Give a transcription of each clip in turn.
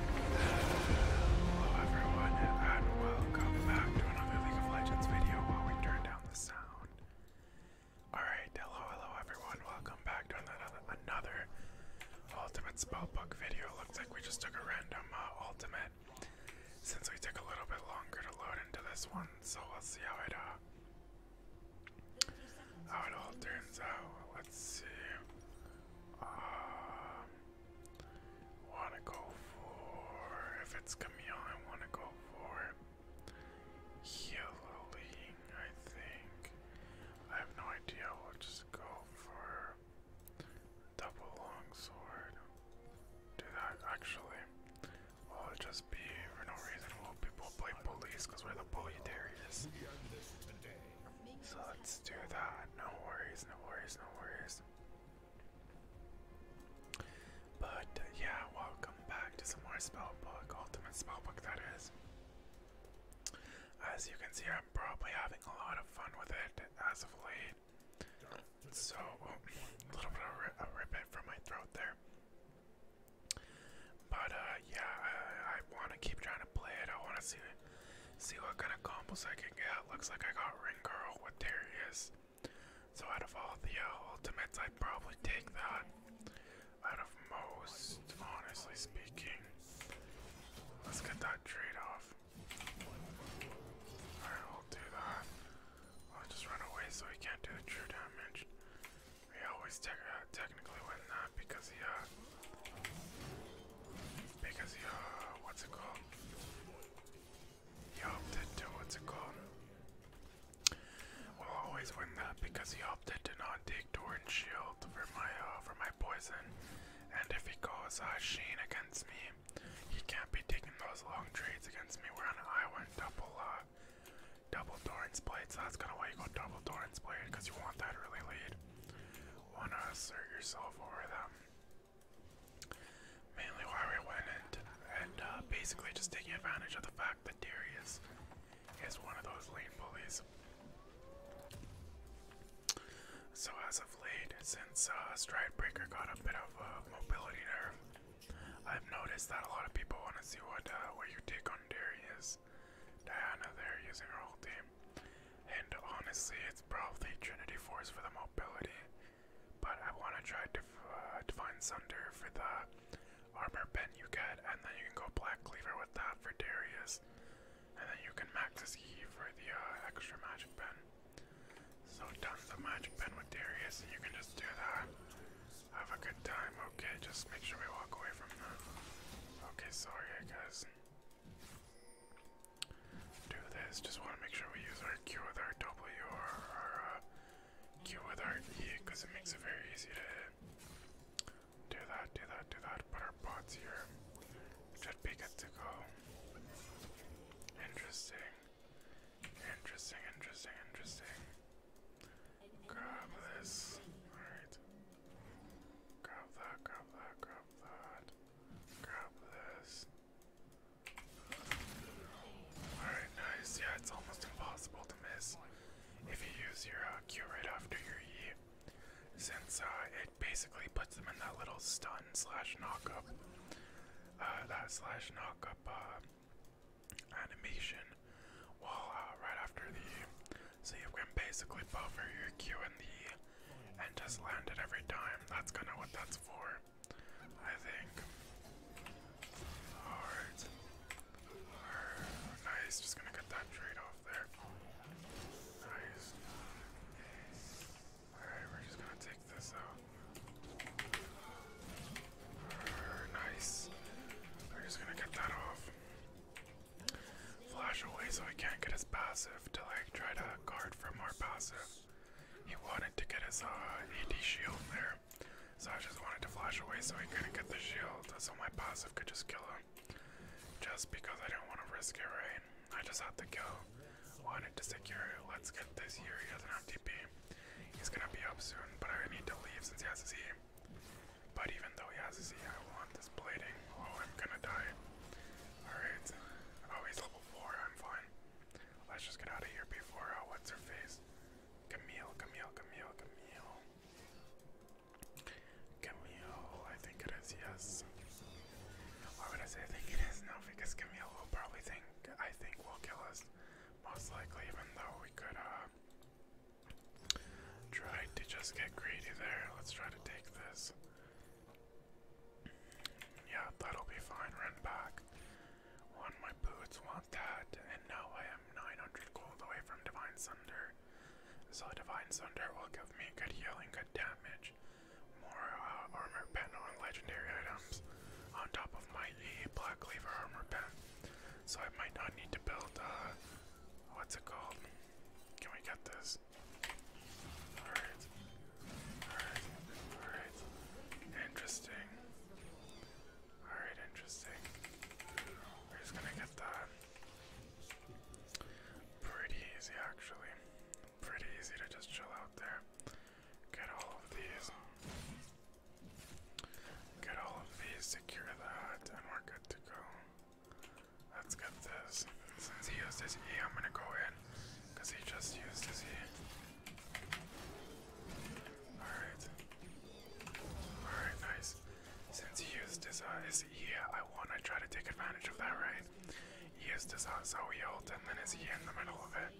Hello everyone, and welcome back to another League of Legends video while we turn down the sound. Alright, hello, hello everyone, welcome back to another, another Ultimate Spellbook video. Looks like we just took a random uh, Ultimate, since we took a little bit longer to load into this one, so we'll see how it, uh, how it all turns out. Let's see. Um, Wanna go for if it's Camille, I wanna go for healing, I think. I have no idea, we'll just go for double longsword. Do that actually. Well will just be for no reason will people play bullies because we're the bully so let's do that. No worries, no worries, no worries. But yeah, welcome back to some more spellbook, ultimate spellbook that is. As you can see, I'm probably having a lot of fun with it as of late. So, oh, a little bit of ri a ribbit from my throat there. But uh, yeah, I, I want to keep trying to play it. I want to see See what kind of combos I can get. Looks like I got Ring Girl with Darius. So out of all the uh, ultimates, I'd probably take that. Out of most, honestly speaking. Let's get that trade off. Alright, we'll do that. I'll just run away so he can't do the true damage. We always te uh, technically win that uh, because he uh, because you what's it called? You opted to what's it called? will always win that because he opted to not take Doran's shield for my uh, for my poison. And if he goes uh, Sheen against me, he can't be taking those long trades against me. We're on an island double uh double Doran's blade, so that's kinda why you go double Doran's blade, because you want that early lead want to assert yourself over them. Mainly why we went in and uh, basically just taking advantage of the fact that Darius is one of those lane bullies. So as of late, since uh, Stridebreaker got a bit of a uh, mobility nerve, I've noticed that a lot of people want to see what uh, what you take on Darius. Diana there using her whole team. And honestly, it's probably Trinity Force for the mobility, but I want to try uh, to find Sunder for the armor pen you get, and then you can go Black Cleaver with that for Darius, and then you can max his key for the uh, extra magic pen. So done of magic pen with Darius, and you can just do that. Have a good time, okay? Just make sure we walk away from that. Okay, sorry guys do this. Just want to make sure we use our Q with our W or our uh, Q with our E because it makes it very easy to Do that, do that, do that. Put our bots here. Should be good to go. Interesting. Interesting, interesting, interesting. Grab this. Alright. Grab that, grab that, grab that. Grab this. Alright, nice. Yeah, it's almost impossible to miss if you use your Q uh, right after your E. Since uh, it basically puts them in that little stun slash knockup, uh, that slash knockup uh, animation, uh, right after the E. So you can basically buffer your Q and the and just land it every time. That's kind of what that's for, I think. Nice, just gonna get that trade off there. Nice. Alright, we're just gonna take this out. Nice. We're just gonna get that off. Flash away so he can't get his passive to like try to guard from our passive. He wanted to get his uh, AD shield there. So I just wanted to flash away so he couldn't get the shield so my passive could just kill him. Just because I didn't want to risk it, right? I just had to kill. Wanted to secure Let's get this here. He doesn't have TP. He's gonna be up soon, but I need to leave since he has his E. But even though he has his E, I want want this blading. Oh, I'm gonna die. Alright. Oh, he's level 4. I'm fine. Let's just get out of here before. Oh, what's her face? Camille, Camille, Camille, Camille. Camille, I think it is, yes. Why would I say I think it is? No, because Camille will probably think, I think, will kill us. Most likely, even though we could, uh, try to just get greedy there. Let's try to take this. Yeah, that'll be fine. Run back. One, my boots want that, and now I am 900 gold away from Divine Sunder. So Divine Sunder will give me good healing, good damage, more uh, armor pen on legendary items, on top of my E Black Cleaver armor pen. So I might not need to build, a. Uh, what's it called? Can we get this? Alright. Alright. Alright. Interesting. Alright, interesting. We're just gonna get that. Pretty easy, actually. Pretty easy to just chill out there. Get all of these. Get all of these, secure that, and we're good to go. Let's get this. Since he used his E, I'm gonna go in. Because he just used his E. Alright. Alright, nice. Since he used his, uh, his E, I wanna try to take advantage of that, right? He used his uh, Zoe ult and then his E in the middle of it.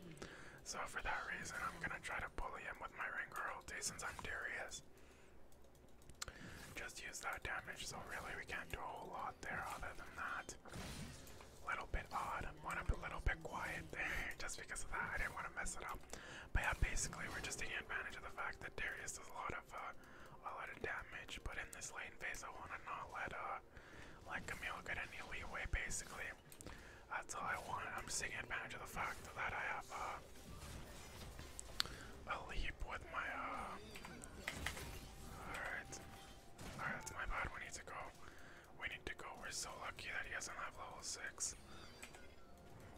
So for that reason, I'm gonna try to bully him with my Rengar ult eh, since I'm Darius. Just use that damage, so really we can't do a whole lot there other than that. Little bit odd, went up a little bit quiet there just because of that. I didn't want to mess it up. But yeah, basically we're just taking advantage of the fact that Darius does a lot of uh, a lot of damage. But in this lane phase, I want to not let uh let Camille get any leeway. Basically, that's all I want. I'm just taking advantage of the fact that I have uh, a lead with my, uh, Alright. Alright, that's my bad. We need to go. We need to go. We're so lucky that he doesn't have level 6.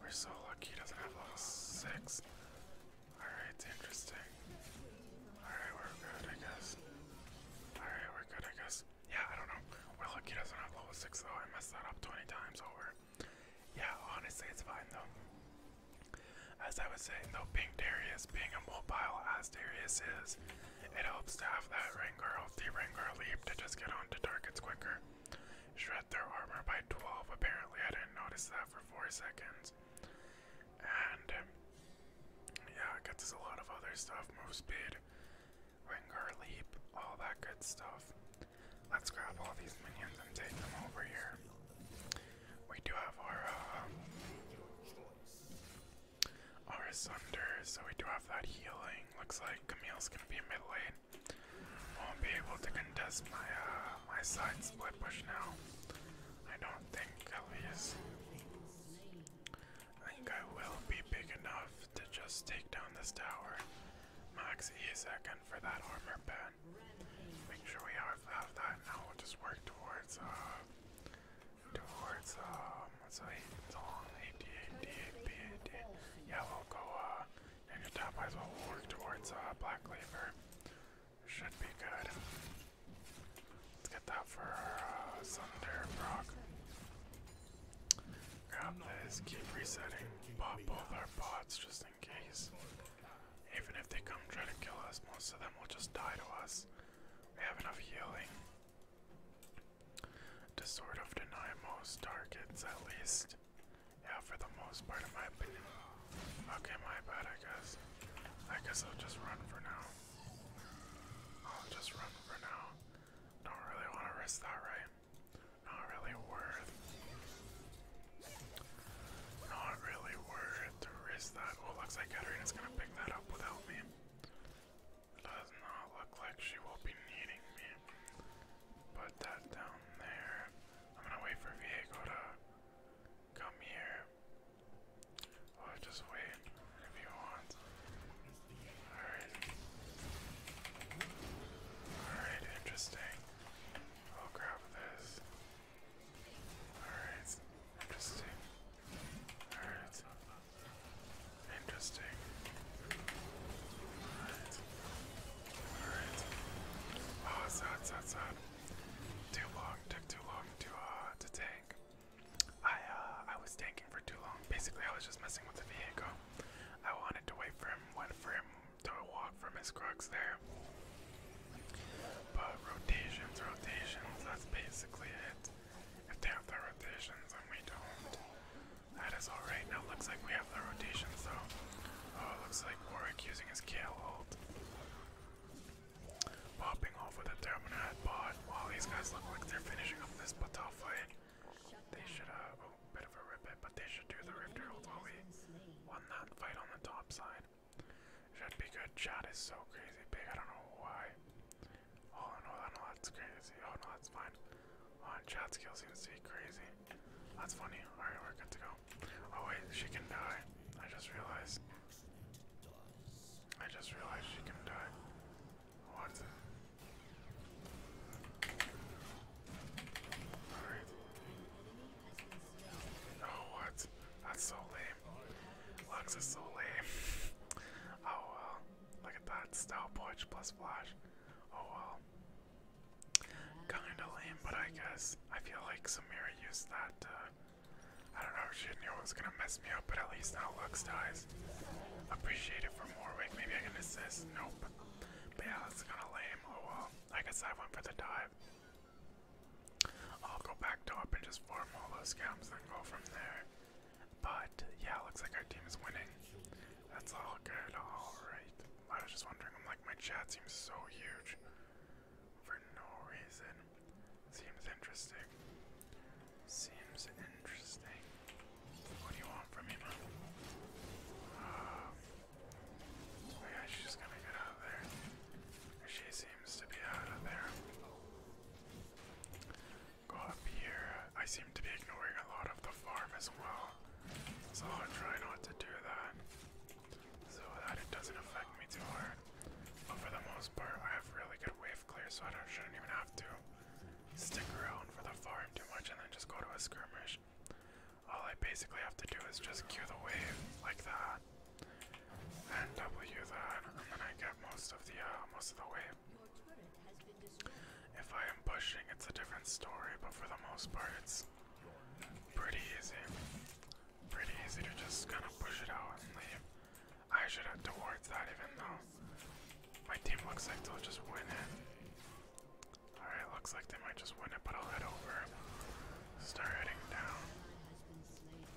We're so lucky he doesn't have level 6. Alright, interesting. Alright, we're good, I guess. Alright, we're good, I guess. Yeah, I don't know. We're lucky he doesn't have level 6, though. I messed that up 20 times over. Yeah, honestly, it's fine, though. As I was saying though, being Darius, being a mobile as Darius is, it helps to have that ring girl, the ring girl leap to just get onto targets quicker. Shred their armor by 12, apparently I didn't notice that for 4 seconds. And um, yeah, it gets us a lot of other stuff, move speed, ring girl leap, all that good stuff. Let's grab all these minions and take them over here. We do have our uh, our Sunder, so we do have that healing. Looks like Camille's gonna be mid lane. Won't be able to contest my uh, my side split push now. I don't think at I think I will be big enough to just take down this tower. Max E second for that armor pad. Make sure we have, have that. Now we'll just work towards, uh, towards, um, what's 88, 88, 88. Yeah, we'll go, uh, and your top eyes will work towards, uh, black labor. Should be good. Let's get that for, uh, Brock. Grab this, keep resetting. Pop both our pots just in case. Even if they come try to kill us, most of them will just die to us. We have enough healing to sort of deny most targets, at least. Yeah, for the most part, in my opinion. Okay, my bad, I guess. I guess I'll just run for now. I'll just run for now. Don't really want to risk that, right? Not really worth not really worth the risk that. Oh, looks like gonna pick that up without me. Does not look like she will be needing me. Put that down there. I'm gonna wait for Viego to come here. i oh, just wait if you want. Alright. Alright, interesting. I'll grab this. Alright, interesting. Alright. Interesting. Alright. Alright. Oh, sad, sad, sad. Too long, took too long to uh to tank. I uh I was tanking for too long. Basically I was just messing with the vehicle. I wanted to wait for him, went for him to walk from his crux there. But rotations, rotations, that's basically it. If they have the rotations and we don't, that is alright. Now looks like we have the rotations So, Oh, looks like Warwick using his Kale ult. Popping off with a Terminat bot. While wow, these guys look like they're finishing up this battle fight, they should have, uh, a oh, bit of a rip it, but they should do the Rift Herald while we won that fight on the top side. Should be good. Shot is so crazy big. I don't know why. Oh no, no, that's crazy. Oh no, that's fine. Oh, and Chad's skill seems to be crazy. That's funny. All right, we're good to go. Oh wait, she can die. I just realized. I just realized she can die. What? Alright. Oh, what? That's so lame. Lux is so lame. oh well. Look at that. Style punch plus flash. Oh well. Kinda lame, but I guess. I feel like Samira used that uh, I don't know if she knew it was gonna mess me up, but at least now Lux dies. Appreciate it from Warwick. Maybe I can assist. Nope. But yeah, that's kinda lame. Oh well. I guess I went for the dive. I'll go back top and just farm all those scams and go from there. But yeah, looks like our team is winning. That's all good. All right. I was just wondering. I'm like, my chat seems so huge for no reason. Seems interesting. Seems interesting. What do you want from me, man? Oh, yeah, she's gonna get out of there. She seems to be out of there. Go up here. I seem to be ignoring a lot of the farm as well. So I'll try not to do that. So that it doesn't affect me too hard. But for the most part, I have really good wave clear, so I don't, shouldn't even have to stick around for the farm too much and then just go to a skirmish all I basically have to do is just cue the wave like that, and W that, and then I get most of the uh, most of the wave. If I am pushing, it's a different story, but for the most part, it's pretty easy. Pretty easy to just kind of push it out and leave. I should head towards that, even though my team looks like they'll just win it. Alright, looks like they might just win it, but I'll head over. Start heading down.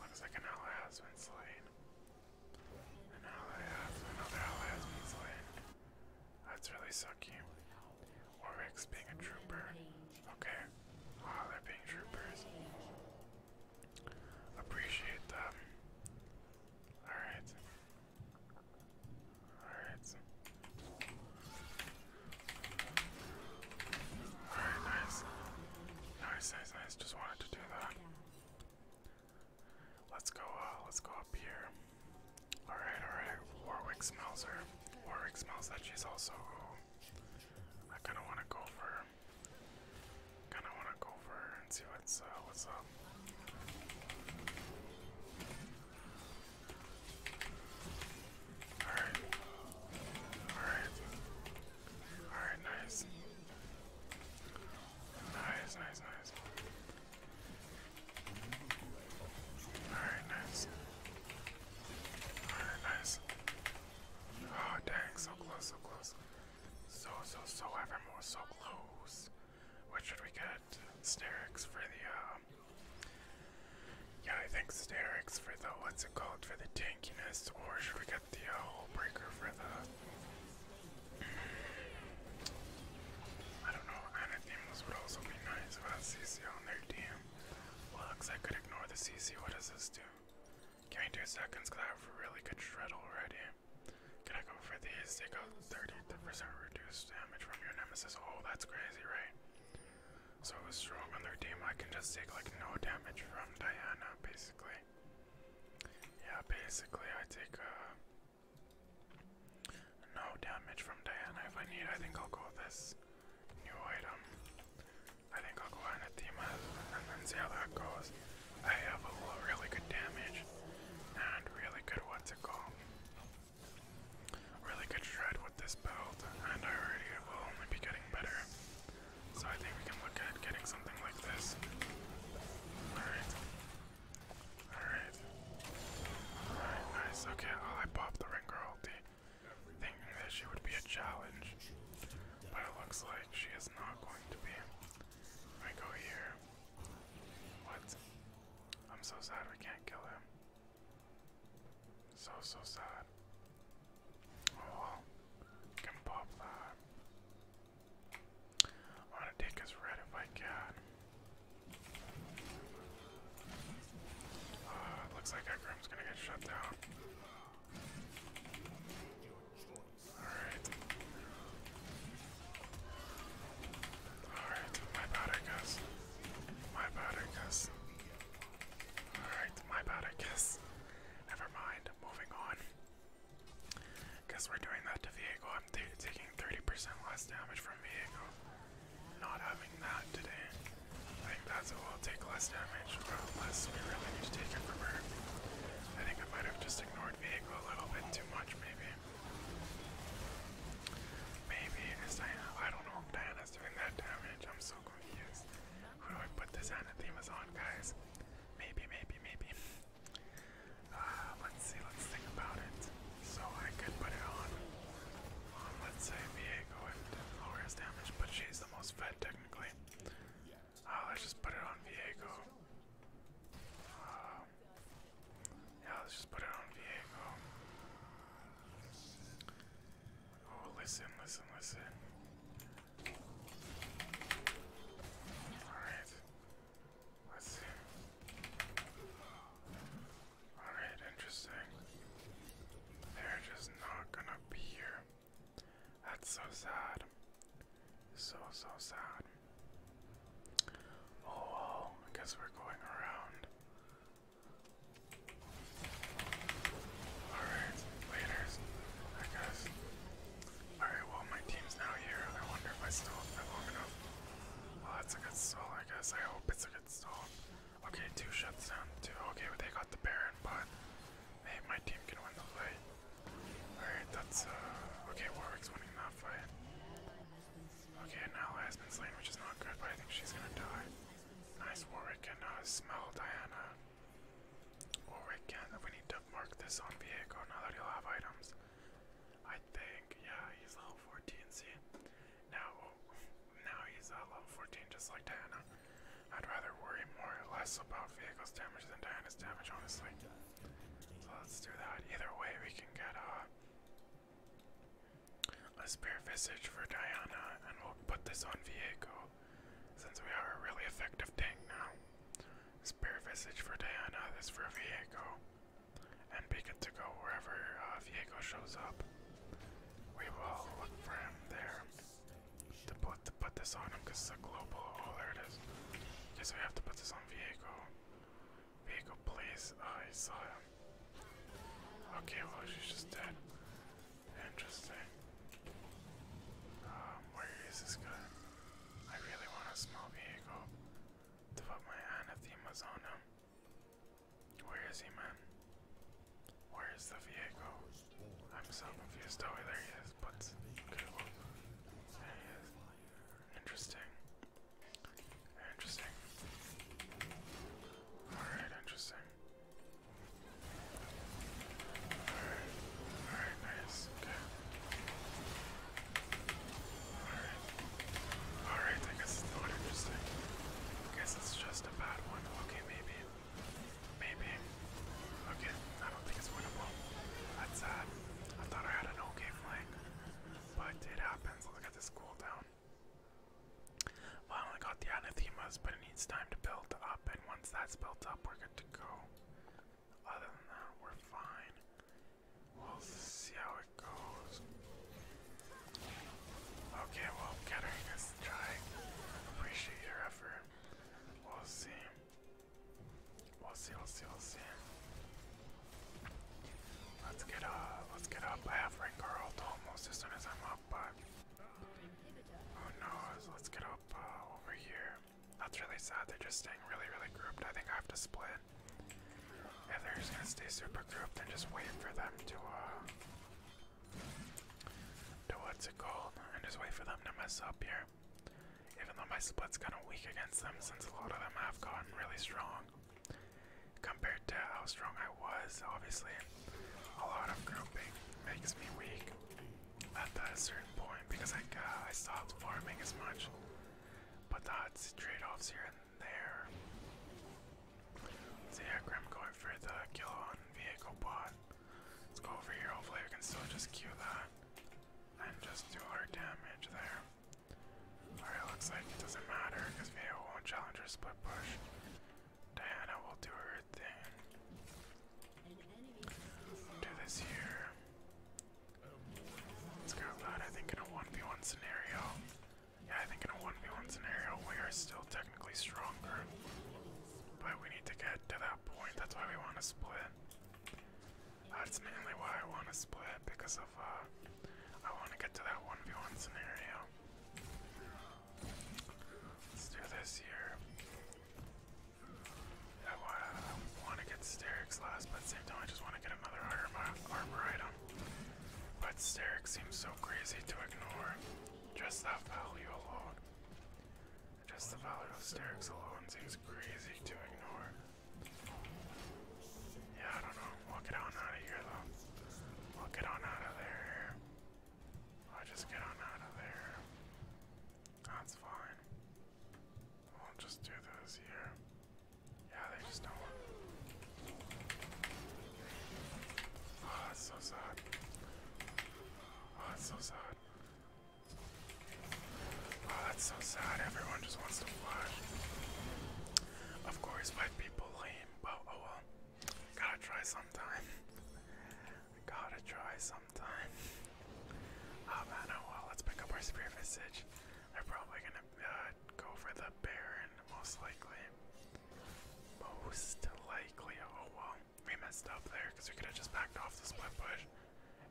Looks like an ally has been slain. another ally has been slain. That's really sucky. Warwick's being a trooper. Okay. Wow, are being troopers. Appreciate them. Alright. Alright. Alright, nice. Nice, nice, nice. Just wanted to do that. Let's go, uh, let's go up here. Alright, alright. Warwick smells her. Warwick smells that she's also uh, I kinda wanna go for Kinda wanna go for her and see what's uh, what's up. Alright. Alright. Alright, nice. Nice, nice, nice. nice. Oh, dang, so close, so close. So, so, so evermore, so close. What should we get? Snarix for the, uh, yeah, I think Sterix for the what's it called for the tankiness, or should we get the uh, hole breaker for the? I don't know. Anathemas would also be nice about CC on their team. looks I could ignore the CC. What does this do? Give me two seconds, I have a really good shred already. Can I go for these? They got 30% reduced damage from your nemesis. Oh, that's crazy, right? so was strong on their team I can just take like no damage from Diana basically. Yeah, basically I take uh no damage from Diana. If I need, I think I'll go with this new item. I think I'll go on a theme and then see how that goes. I have a really good damage and really good what's to go really good stride with this build, and I already will only be getting better. So I think we can look at getting something like this. Alright. Alright. Alright, nice. Okay, oh, I popped the Ringer ulti, thinking that she would be a challenge. But it looks like she is not going to be. I go here. What? I'm so sad we can't kill him. So, so sad. Oh, can pop that. want to take his red if I can. Uh, looks like Egrim's gonna get shut down. Alright. Alright, my bad, I My bad, I Alright, my bad, I guess. Never mind, moving on. Guess we're doing that to Viego. I'm taking 30% less damage from Viego. Not having that today. I think that's it, we'll take less damage, unless we really need to take from her. I think I might have just ignored Viego a little bit too much, maybe. Maybe, is Diana, I don't know if Diana's doing that damage, so confused. Who do I put this on at guys? Maybe, maybe, maybe. Uh, let's see, let's think about it. So I could put it on, on let's say, Viego and lowers damage, but she's the most fed technically. Uh, let's just put it on Viego. Uh, yeah, let's just put it on Viego. Oh, listen, listen, listen. Alright. let Alright, interesting. They're just not gonna be here. That's so sad. So, so sad. Oh, I guess we're going around. Alright, laters. I guess. Alright, well, my team's now here. I wonder if I still have that long enough. Well, that's a good stall, I guess. I hope it's a good stall. Okay, two shuts down, two. Okay, well, they got the Baron, but hey, my team can win the fight. Alright, that's, uh, okay, Warwick's winning that fight. Okay, now has been slain, which is not good, but I think she's gonna die. Nice Warwick can smell Diana. Warwick can. We need to mark this on vehicle. now that he'll have items. I think, yeah, he's level 14, Now, now he's uh, level 14 just like Diana. I'd rather worry more less about vehicle's damage than Diana's damage, honestly. So let's do that. Either way, we can get, uh, a spare visage for Diana, and we'll put this on Viego, since we are a really effective tank now. Spare visage for Diana, this for Viego, and be good to go wherever uh, shows up. We will look for him there to put to put this on him, cause it's a global. Oh, there it is. Okay, so we have to put this on Viego. Viego, please. I saw him. Okay, well, she's just dead. Interesting. Um, where is this guy? I really want a small vehicle to put my hand at the Where is he, man? Where is the vehicle? I'm so confused. Oh, there he is. But okay, there he is. Interesting. Interesting. Alright, interesting. Alright. Alright, nice. Okay. Alright. Alright, I guess it's not interesting. I guess it's just a bad one. Okay, maybe. Maybe. Okay, I don't think it's winnable. That's sad. Uh, I thought I had an okay flank. But it happens. Look at this cooldown. Finally got the anathemas, but it needs time to build up, and once that's built up, we're good to go. Other than that, we're fine. We'll see how it goes. Okay, well, Kettering is trying. Appreciate your effort. We'll see. We'll see, we'll see, we'll see. Let's get up, let's get up. I have Rengar ult almost as soon as I'm up, but Oh no, let's get up uh, over here. That's really sad, they're just staying really, really grouped. I think I have to split. If they're just gonna stay super grouped, then just wait for them to, uh, to what's it called, and just wait for them to mess up here. Even though my split's kind of weak against them, since a lot of them have gotten really strong compared to how strong I was. Obviously, a lot of grouping makes me weak at a certain point because I, I stopped farming as much. But that's trade-offs here and there. So yeah, Grim going for the kill on vehicle bot. Let's go over here. Hopefully we can still just queue that and just do our damage there. Alright, looks like it doesn't matter because vehicle won't challenge or split push. Diana will do her thing. Do this here. Let's go loud. I think in a 1v1 scenario. Yeah, I think in a 1v1 scenario we are still technically stronger. But we need to get to that point. That's why we want to split. That's mainly why I want to split because of uh I want to get to that 1v1 scenario. Let's do this here. I want to get Sterix last, but at the same time I just want to get another armor, item. But Sterix seems so crazy to ignore. Just that value alone. Just the value of Sterix alone seems crazy to ignore. Yeah, I don't know. We'll get on out of here though. We'll get on out of there. I just get on out of there. That's fine. We'll just do this here. Yeah, they just don't want. Oh, that's so sad. Oh, that's so sad. Oh, that's so sad. Everyone just wants to flash. Of course, white people lame. But oh well. Gotta try sometime. Gotta try sometime. Oh man, oh well, let's pick up our spear visage. They're probably gonna uh, go for the Baron, most likely. Most likely, oh well. We messed up there because we could have just backed off the split bush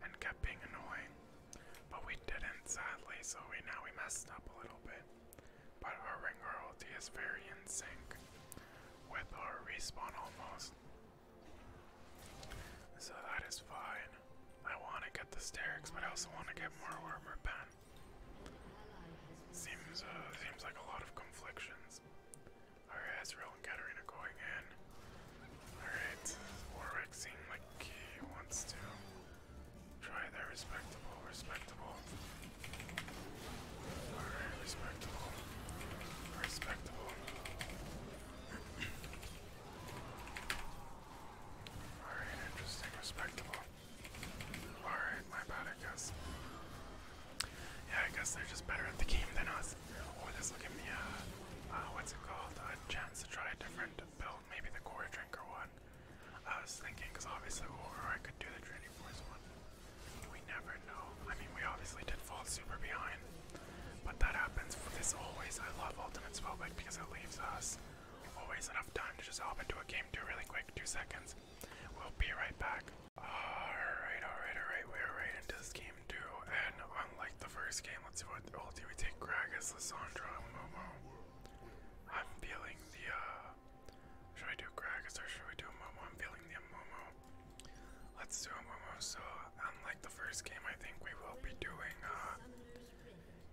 and kept being annoying. But we didn't, sadly, so we now we messed up a little bit. But our ring royalty is very in sync with our respawn almost. So that is fine. I want to get the sterics, but I also want to get more armor pen. Seems uh, seems like a lot of conflicts. Alright, Ezreal and Katarina going in. Alright, Warwick seems like he wants to Try they're respectable, respectable. Alright, respectable. Respectable. Alright, interesting, respectable. Alright, my bad, I guess. Yeah, I guess they're just better at the game than us. Oh, this will give me a, uh, what's it called? A chance to try a different build, maybe the core drinker one. I was thinking, because obviously, or I could do the Trinity Force one. We never know. I mean, we obviously did fall super behind, but that happens. For this always, I love Ultimate Spellbook because it leaves us always enough time to just hop into a game two really quick, two seconds. We'll be right back. Alright, alright, alright, we're right into this game two, and unlike the first game, let's see what ulti we take. Gragas, Lissandra, Momo. I'm feeling the, uh, should I do Gragas or should we do Momo? I'm feeling the Momo. Let's do a So, unlike the first game, I think we will be doing uh,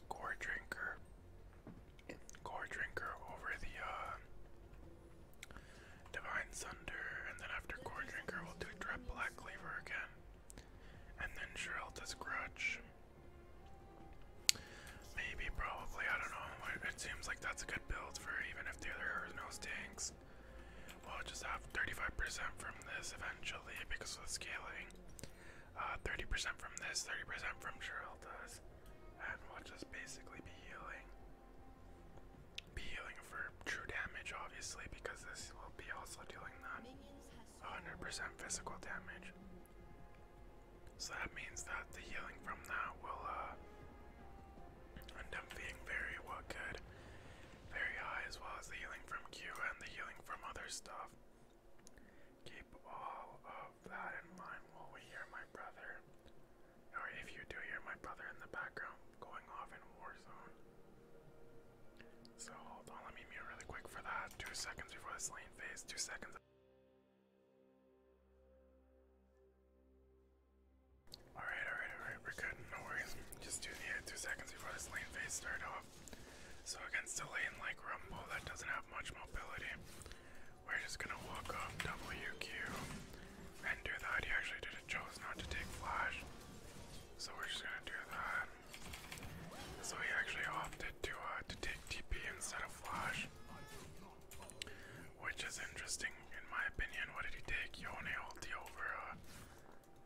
Gore Drinker. Gore Drinker over the uh, Divine Sunder, and then after Gore Drinker, we'll do Dread Black Lever again. And then Shrill does Grudge. Maybe, probably, I don't know. It seems like that's a good build for even if the other no stinks. We'll just have 35% from this eventually because of the scaling. 30% uh, from this, 30% from Geralda's. And we'll just basically be healing. Be healing for true damage, obviously, because this will be also dealing that 100% physical damage. So that means that the healing from that will uh, end up being very well good, very high, as well as the healing from Q and the healing from other stuff. Keep all of that in mind while we hear my brother, or if you do hear my brother in the background going off in Warzone. So hold on, let me mute really quick for that. Two seconds before the slain phase, two seconds. Alright, alright, alright, we're good, no worries. Just do the two seconds before this lane phase start off. So against a lane like Rumble that doesn't have much mobility, we're just gonna walk up WQ and do that. He actually did it, chose not to take flash. So we're just gonna do that. So he actually opted to uh, to take TP instead of flash. Which is interesting, in my opinion. What did he take? Yone ulti over a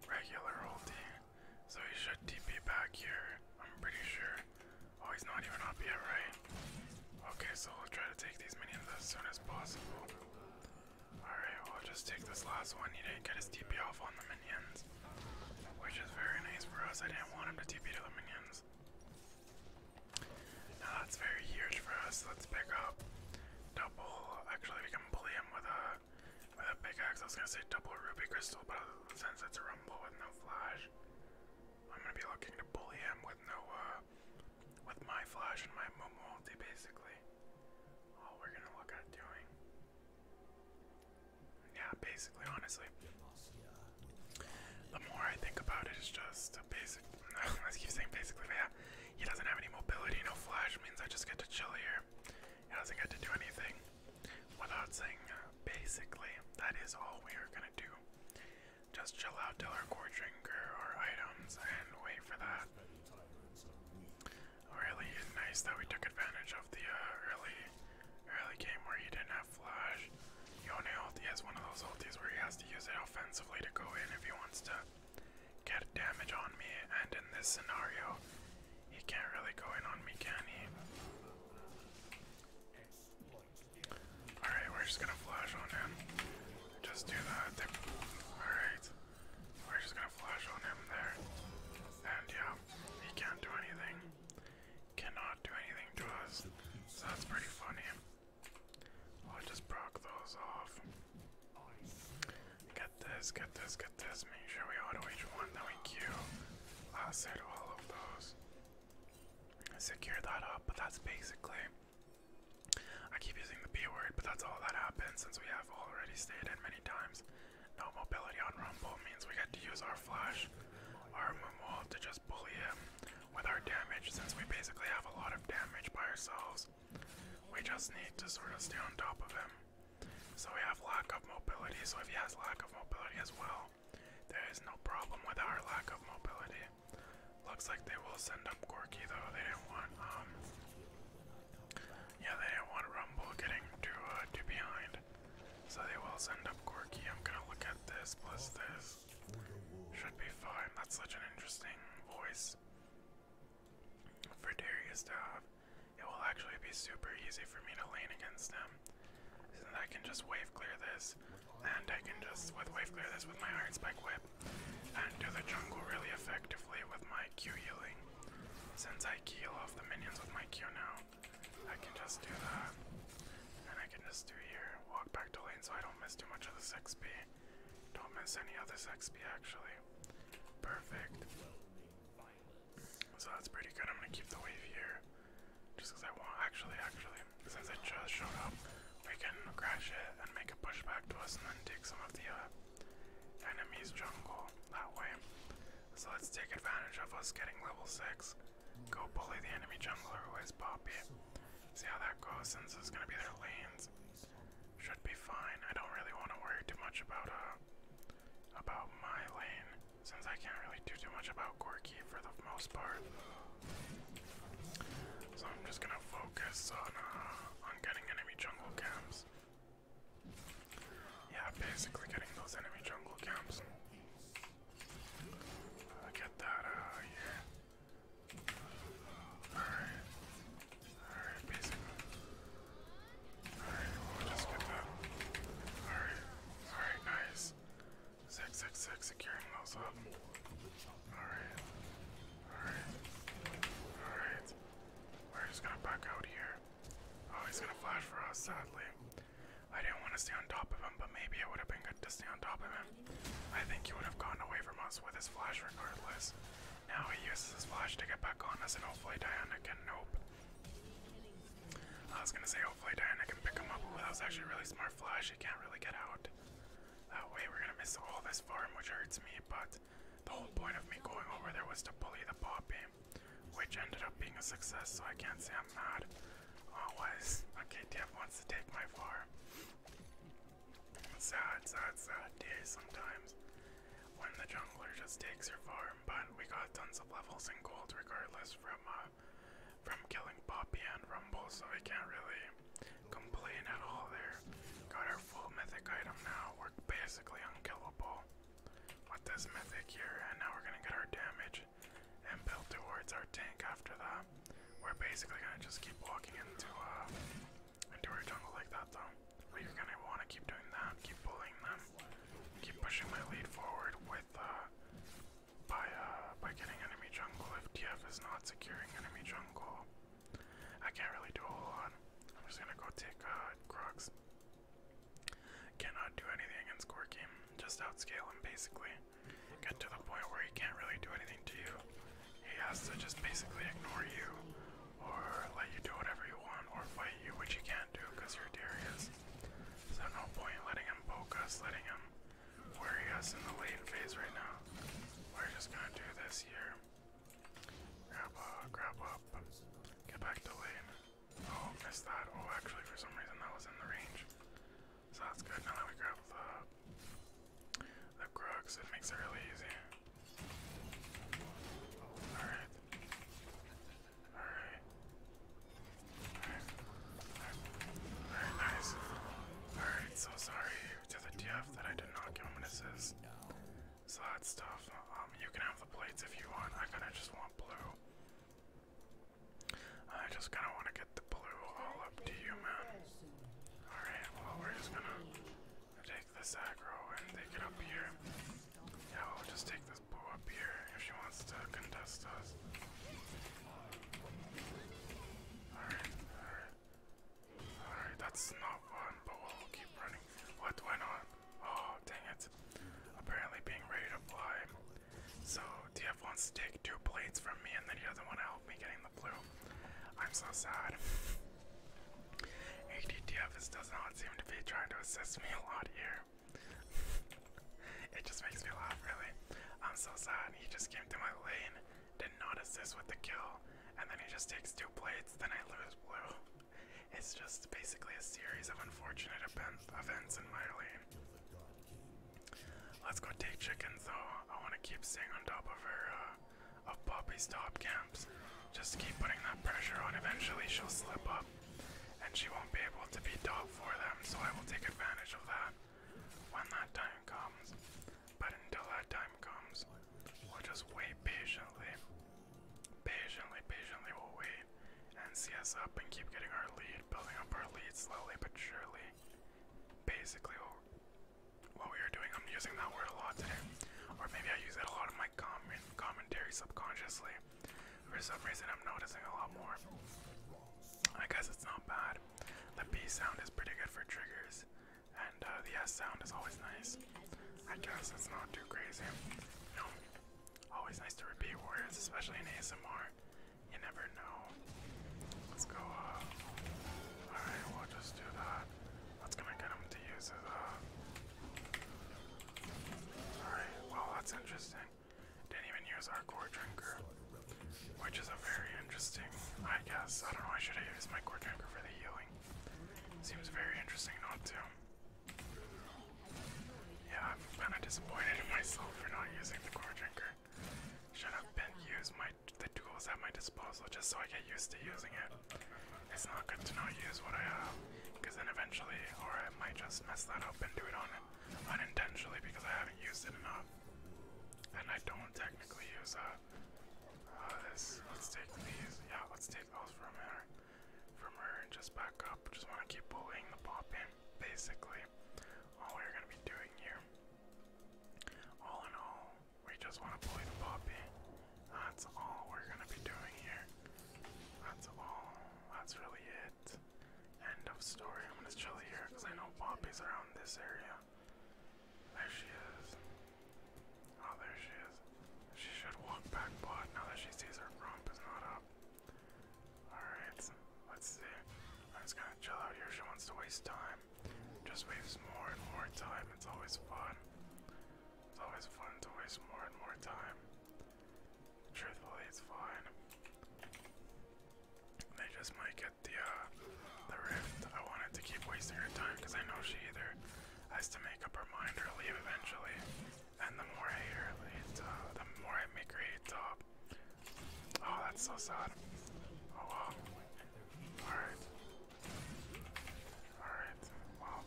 regular ulti. So he should TP back here, I'm pretty sure. Oh, he's not even up yet, right? Okay, so we'll try to take these minions as soon as possible. Alright, we'll just take this last one. He didn't get his TP off on the minions. Which is very nice for us. I didn't want him to TP to the minions. Now that's very huge for us. Let's pick up double. Actually, we can bully him with a with a pickaxe. I was gonna say double ruby crystal, but since it's a rumble with no flash, I'm gonna be looking to bully him with no uh, with my flash and my moon multi, basically. All we're gonna look at doing. Yeah, basically, honestly. The more I think about it, it's just a basic. I keep saying basically, yeah, he doesn't have any mobility, no flash means I just get to chill here. He doesn't get to do anything. Without saying uh, basically, that is all we are gonna do. Just chill out till our core drinker, our items, and wait for that. Really nice that we took advantage of the uh, early, early game where he didn't have flash. Yone ulti is one of those ultis where he has to use it offensively to go in if he wants to get damage on me, and in this scenario, he can't really go in on me, can he? Alright, we're just gonna flash on him. Just do that. Alright. We're just gonna flash on him there. And yeah, he can't do anything. Cannot do anything to us. So that's pretty funny. Oh, I'll just broke those off. Get this, get this, get this. Make sure we auto each one, then we queue. Lasso all of those. Secure that up, but that's basically. I keep using the B word, but that's all that happens since we have already stated many times. No mobility on Rumble means we get to use our flash, our Moonwall to just bully him with our damage since we basically have a lot of damage by ourselves. We just need to sort of stay on top of him. So we have lack of mobility, so if he has lack of mobility as well, there is no problem with our lack of mobility. Looks like they will send up Gorky though, they didn't want, um, yeah, they didn't want Rumble getting to uh, to behind. So they will send up Gorky, I'm gonna look at this plus this. Should be fine. That's such an interesting voice for Darius to have. It will actually be super easy for me to lane against them. Since I can just wave clear this, and I can just with wave clear this with my Iron Spike Whip, and do the jungle really effectively with my Q healing. Since I heal off the minions with my Q now, I can just do that. And I can just do here, walk back to lane so I don't miss too much of this XP. Don't miss any of this XP actually. Perfect. So that's pretty good. I'm gonna keep the wave here. Just because I want, actually, actually, since it just showed up, we can crash it and make a push back to us and then take some of the uh, enemy's jungle that way. So let's take advantage of us getting level 6. Go bully the enemy jungler who has Poppy. See how that goes since it's gonna be their lanes. Should be fine. I don't really want to worry too much about uh about my lane since I can't really do too much about Gorky for the most part. So I'm just gonna focus on uh, on getting enemy jungle camps. Yeah, basically getting those enemy jungle camps. I'll get that out uh, of here. Alright. Alright, basically. Alright, we'll just get that. Alright. Alright, nice. Six, six, six, securing those up. Alright. Alright. Alright. We're just gonna back out here. Oh, he's gonna flash for us, sadly. I didn't want to stay on top of him, but maybe it would have been good to stay on top of him. I think he would have gotten away from us with his flash regardless. Now he uses his flash to get back on us, and hopefully Diana can. Nope. I was gonna say, hopefully Diana can pick him up. Ooh, that was actually really smart flash. He can't really get out. That way, we're gonna miss all this farm, which hurts me, but the whole point of me going over there was to bully the poppy, which ended up being a success, so I can't say I'm mad. Always. a Dev wants to take my farm. Sad, sad, sad day sometimes. When the jungler just takes your farm, but we got tons of levels and gold regardless from uh, from killing Poppy and Rumble, so we can't really complain at all there. Got our full mythic item now. We're basically unkillable with this mythic here, and now we're gonna get our damage and build towards our tank after that. We're basically gonna just keep walking into uh into our jungle like that though. We're gonna wanna keep doing that, keep bullying them, keep pushing my lead forward with uh by uh by getting enemy jungle if TF is not securing enemy jungle. I can't really do a lot. I'm just gonna go take uh Crocs. Cannot do anything against Corky, just outscale him basically get to the point where he can't really do anything to you. He has to just basically ignore you, or let you do whatever you want, or fight you, which you can't do because you're Darius. So no point letting him poke us, letting him worry us in the lane phase right now. We're just gonna do this here. Grab up, grab up, get back to lane. Oh, missed that. Oh, actually, for some reason that was in the range. So that's good. Now that we grab the the crooks, it makes it really easy. Alright. Alright. Alright. nice. Alright, so sorry to the DF that I did not give him an assist. So that's tough. Um, you can have the plates if you want. I kinda just want blue. I just kind of want to get the blue all up to you, man. Alright, well, we're just gonna take this aggro and take it up here. Yeah, we'll just take this blue up here if she wants to contest us. Alright, alright. Alright, that's not one, but we'll keep running. What went on? Oh, dang it. Apparently being ready to fly so, DF wants to take two plates from me, and then he doesn't want to help me getting the blue. I'm so sad. ADTF is, does not seem to be trying to assist me a lot here. it just makes me laugh, really. I'm so sad. He just came to my lane, did not assist with the kill, and then he just takes two plates, then I lose blue. It's just basically a series of unfortunate events in my lane. Let's go take chickens though. I want to keep staying on top of her, uh, of Poppy's top camps. Just keep putting that pressure on. Eventually she'll slip up and she won't be able to beat dog for them. So I will take advantage of that when that time comes. But until that time comes, we'll just wait patiently. Patiently, patiently we'll wait and see us up and keep getting our lead, building up our lead slowly but surely basically what we were doing. I'm using that word a lot today, or maybe I use it a lot in my comment commentary subconsciously. For some reason, I'm noticing a lot more. I guess it's not bad. The B sound is pretty good for triggers, and uh, the S sound is always nice. I guess it's not too crazy. always nice to repeat words, especially in ASMR. You never know. Let's go up. Alright, we'll just do that. That's gonna get him to use his Alright, well that's interesting. Didn't even use our core drinker. Which is a very interesting I guess. I don't know, I should have used my core drinker for the healing. Seems very interesting not to. Yeah, I'm kinda disappointed in myself for not using the core drinker. Should have been used my the tools at my disposal just so I get used to using it. It's not good to not use what I have, because then eventually, or I might just mess that up and do it on unintentionally because I haven't used it enough. And I don't technically use uh, uh this. Let's take these. Yeah, let's take those from her, from her, and just back up. Just want to keep bullying the pop in, basically all we're gonna be doing here. All in all, we just want to play the puppy. That's all we're gonna be doing here. That's all. That's really it. End of story. I'm gonna chill here I know Poppy's around this area. There she is. Oh, there she is. She should walk back, but now that she sees her rump is not up. Alright, let's see. I'm gonna chill out here. She wants to waste time. Just waste more and more time. It's always fun. It's always fun to waste more and more time. Truthfully, it's fine. They just might get the uh, the rift. I wanted to keep wasting her time because I know she either has to make up her mind or leave eventually. And the more I hate her, uh, the, more I make her hate top. Oh, that's so sad. Oh wow. Alright. Alright. Wow.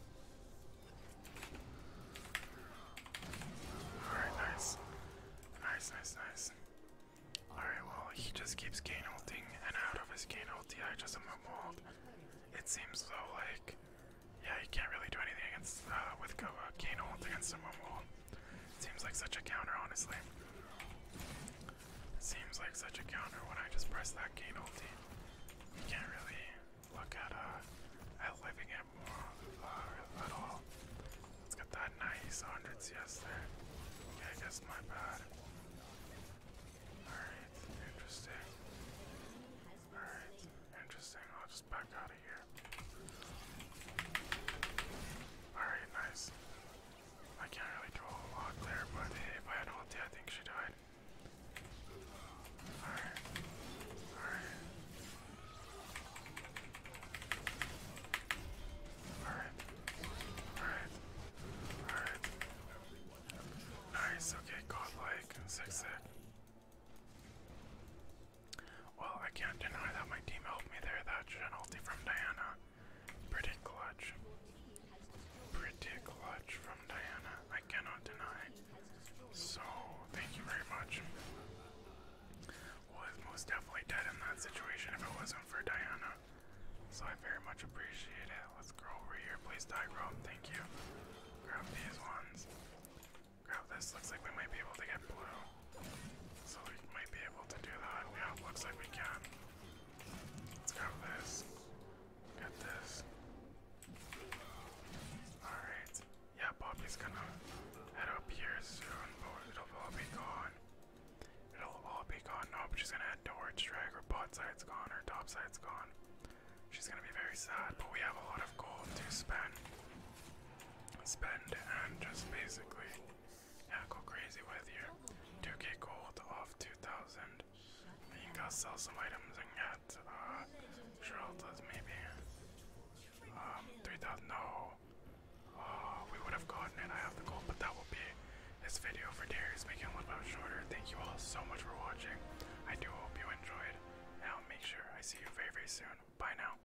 Alright, nice. Nice, nice, nice. Alright, well, he just keeps gain ulting, and out of his gain ulti, I just am walled. It seems though, like, yeah, you can't really do anything against, uh, with Go uh, gain ult against a wall. Seems like such a counter, honestly. Seems like such a counter when I just press that gain ulti. You can't really look at uh at living it more uh, at all. Let's get that nice 100 CS there. Okay, I guess my bad. Alright, interesting. Alright, interesting. I'll just Alright, nice. I can't really do a lot there, but if I had ulti, I think she died. Alright. Alright. Alright. Alright. Nice, okay, godlike. Sick, well, I can't deny that my team helped me there. That ulti from Diana. Pretty clutch. Pretty clutch from Diana. I cannot deny. So, thank you very much. Was most definitely dead in that situation if it wasn't for Diana. So I very much appreciate it. Let's go over here. Please die, bro. Thank you. Grab these ones. Grab this. Looks like we might be able to get blue. So we might be able to do that. Yeah, looks like we can. Let's grab this. Get this. Alright. Yeah, Poppy's gonna head up here soon, but it'll all be gone. It'll all be gone. Nope, she's gonna head towards drag. Her pot side's gone, her top side's gone. She's gonna be very sad, but we have a lot of gold to spend spend and just basically go crazy with your 2k gold off 2000. And you can go sell some items and get uh, Geralda's maybe. Um, 3000, no. Oh, we would have gotten it, I have the gold, but that will be this video for Dare is making a little bit shorter. Thank you all so much for watching. I do hope you enjoyed. Now make sure I see you very, very soon. Bye now.